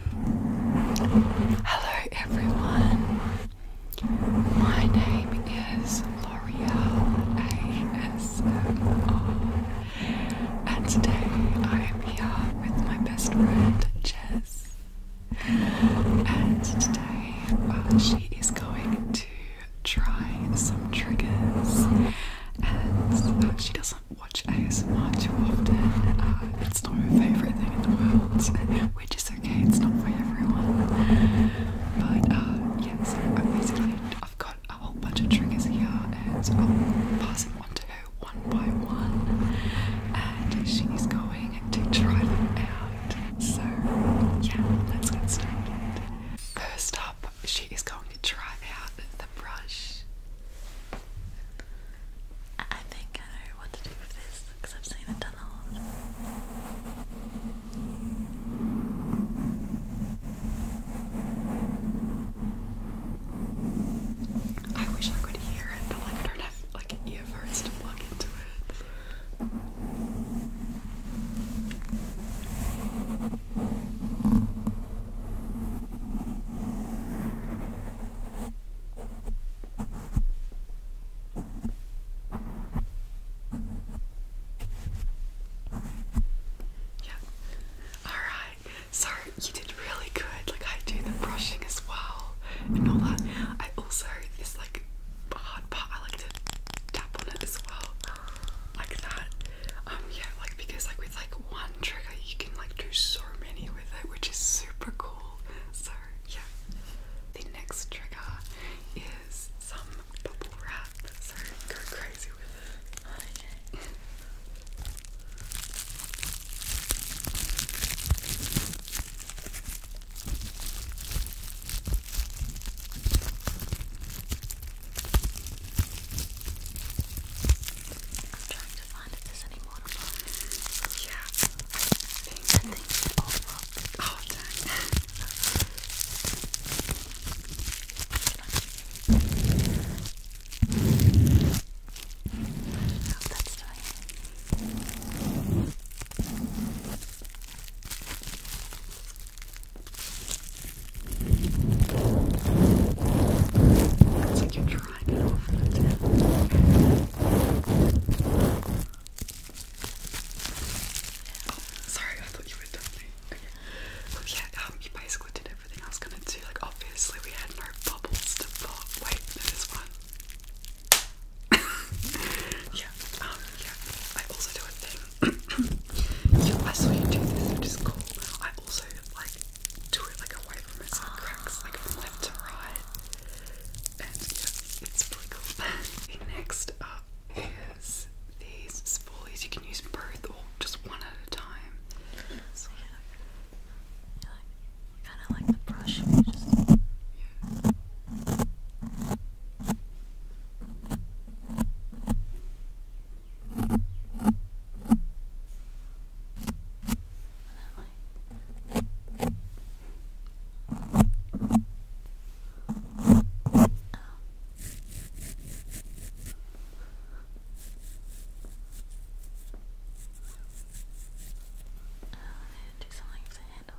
Hello everyone. My name is L'Oreal ASMR and today I am here with my best friend Jess. And today uh, she is going to try some triggers and uh, she doesn't watch ASMR too often. Uh, it's not my favourite thing in the world, which is okay, it's not for everyone. But uh, yeah, so I basically I've got a whole bunch of triggers here and I'll pass them on to her one by one. And she's going to try them out. So yeah, let's get started. First up, she is going to try out the brush. I, I think I know what to do with this because i a lot. I wish I could hear it, but like I don't have like earphones to plug into it. Yeah. All right. Sorry, you did really good. Like I do the brushing as well and all that. I also this like hard part. I like to tap on it as well, like that. Um, yeah, like because like with like one trigger you can like do so many which is super cool. So, yeah. The next trigger is some bubble wrap, so go crazy with it. Okay find if there's any more Yeah. I think, I think they all up. Oh, that's doing it. It's like you're dried Sorry, I thought you were done. Okay. Um, you basically did everything I was gonna do. Like, obviously, we had no bubbles to pop. Wait, there's one. yeah, um, yeah. I also do a thing. I saw you do this, which is cool. I also, like, do it like a away from it so ah. cracks like from left to right. And yeah, it's pretty cool. Next up is these spoolies. You can use both or just one at a time. So yeah. Kind of like the brush. Oh. Oh, I need do something with the handle.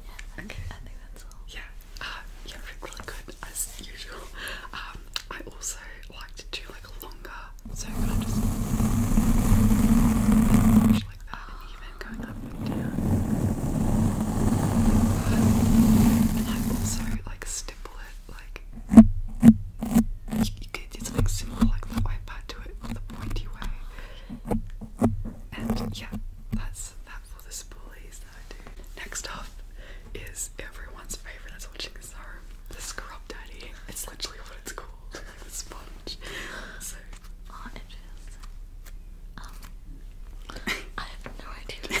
Yeah, okay. I think that's all. Yeah, uh, yeah, really good as usual. Um, I also like to do like a longer, so I'm gonna just like that, even going up and down. and I also like stipple it, like you, you do something similar like that way, but do it the pointy way. And yeah, that's that for the spoolies. Next up is everyone's favorite that's watching this home, the Scrub Daddy. It's literally what it's called, the sponge. Um, I have no idea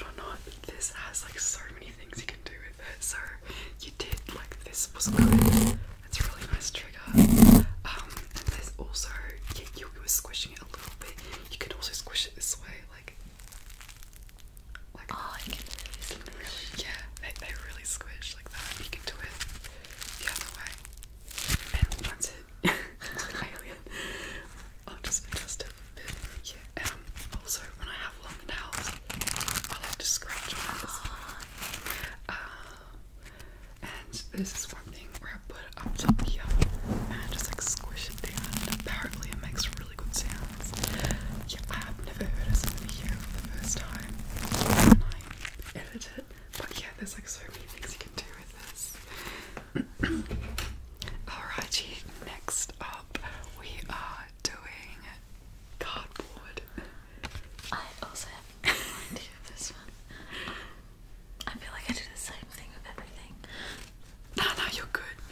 or not, this has like so many things you can do with it. So you did like this was good. It's a really nice trigger. Um, and there's also yeah, you, you were squishing it a little bit. You can also squish it this way, like like oh, you can really, yeah, they they really squish like that. You can do it the other way. And once i just adjust a bit. Yeah. Um, also, when I have long nails, I like to scratch my nails. Ah. Uh, and this is one thing where I put it up top here and just like squish it down. apparently, it makes really good sounds. Yeah, I've never heard us in here for the first time. And I edit but yeah, there's like so many things you can do with this. Alrighty, next up we are doing cardboard. I also have this one. I feel like I do the same thing with everything. No, no, you're good.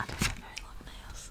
I don't have very long nails.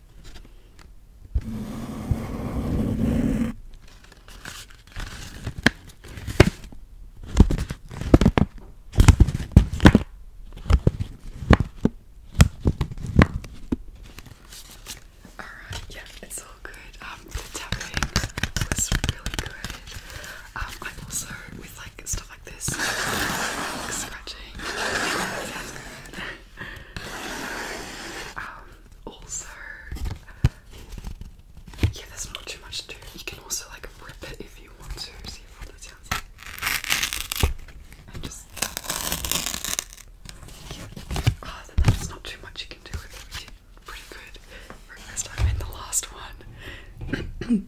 Alright, yeah, it's all good. Um, the tapping was really good. Um, I'm also with like stuff like this, like, scratching. good. Um, also, yeah, there's not too much to do. You can also like rip it if you want to. See what that sounds like. And just yeah. Oh, then not too much you can do with it. pretty good first time. And the last one.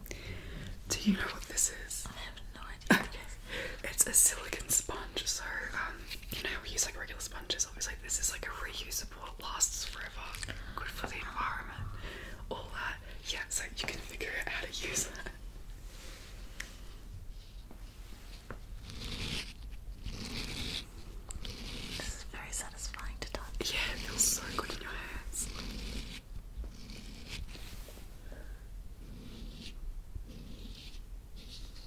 do you know what this is? I have no idea. It's a silicon sponge, so um, you know we use like regular sponges. Obviously, this is like a reusable, lasts forever, good for the environment, all that. Yeah, so you can figure out how to use it. This is very satisfying to touch. Yeah, feels so good in your hands.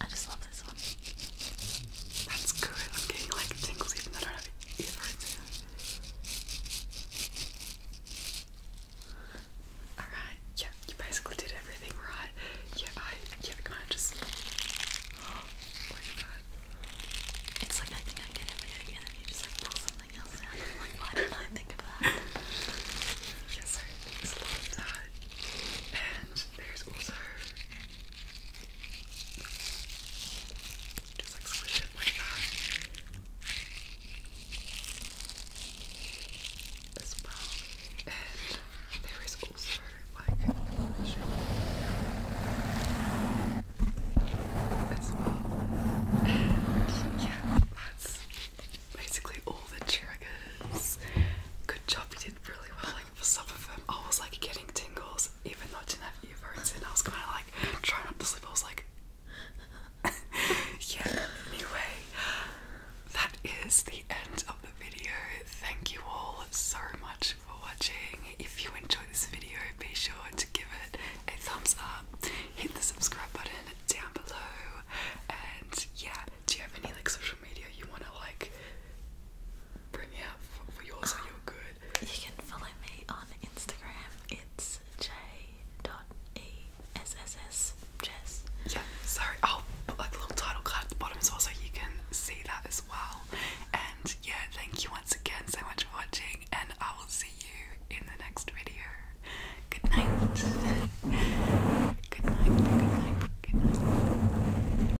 I just love this one. That's good. I'm getting like tingles even though I do Alright, yeah, you basically did everything right. Yeah, I yeah, kind of just oh, look at It's like I I get every day and then you just like Yes, sir. It's like that. And there's also just like squish it like that as well. And there is also like as well. yeah, that's basically all the triggers. Good job, you did really well. Like for some of them, I was like getting tingles, even though I didn't have earphones in. I was kind of like trying not to sleep. I was like, yeah. Anyway, that is the end of the video. Thank you all so much for watching. If you enjoyed this video, be sure to give it a thumbs up hit the subscribe button down below. And yeah, do you have any like social media you want to like bring me up for yours um, so you're good? You can follow me on Instagram. It's j dot e s s s jess. Yeah, sorry. I'll put like a little title card at the bottom as well, so you can see that as well. And yeah, thank you once again so much for watching and I will see you in the next video. Good night. good night. Good night. Good night.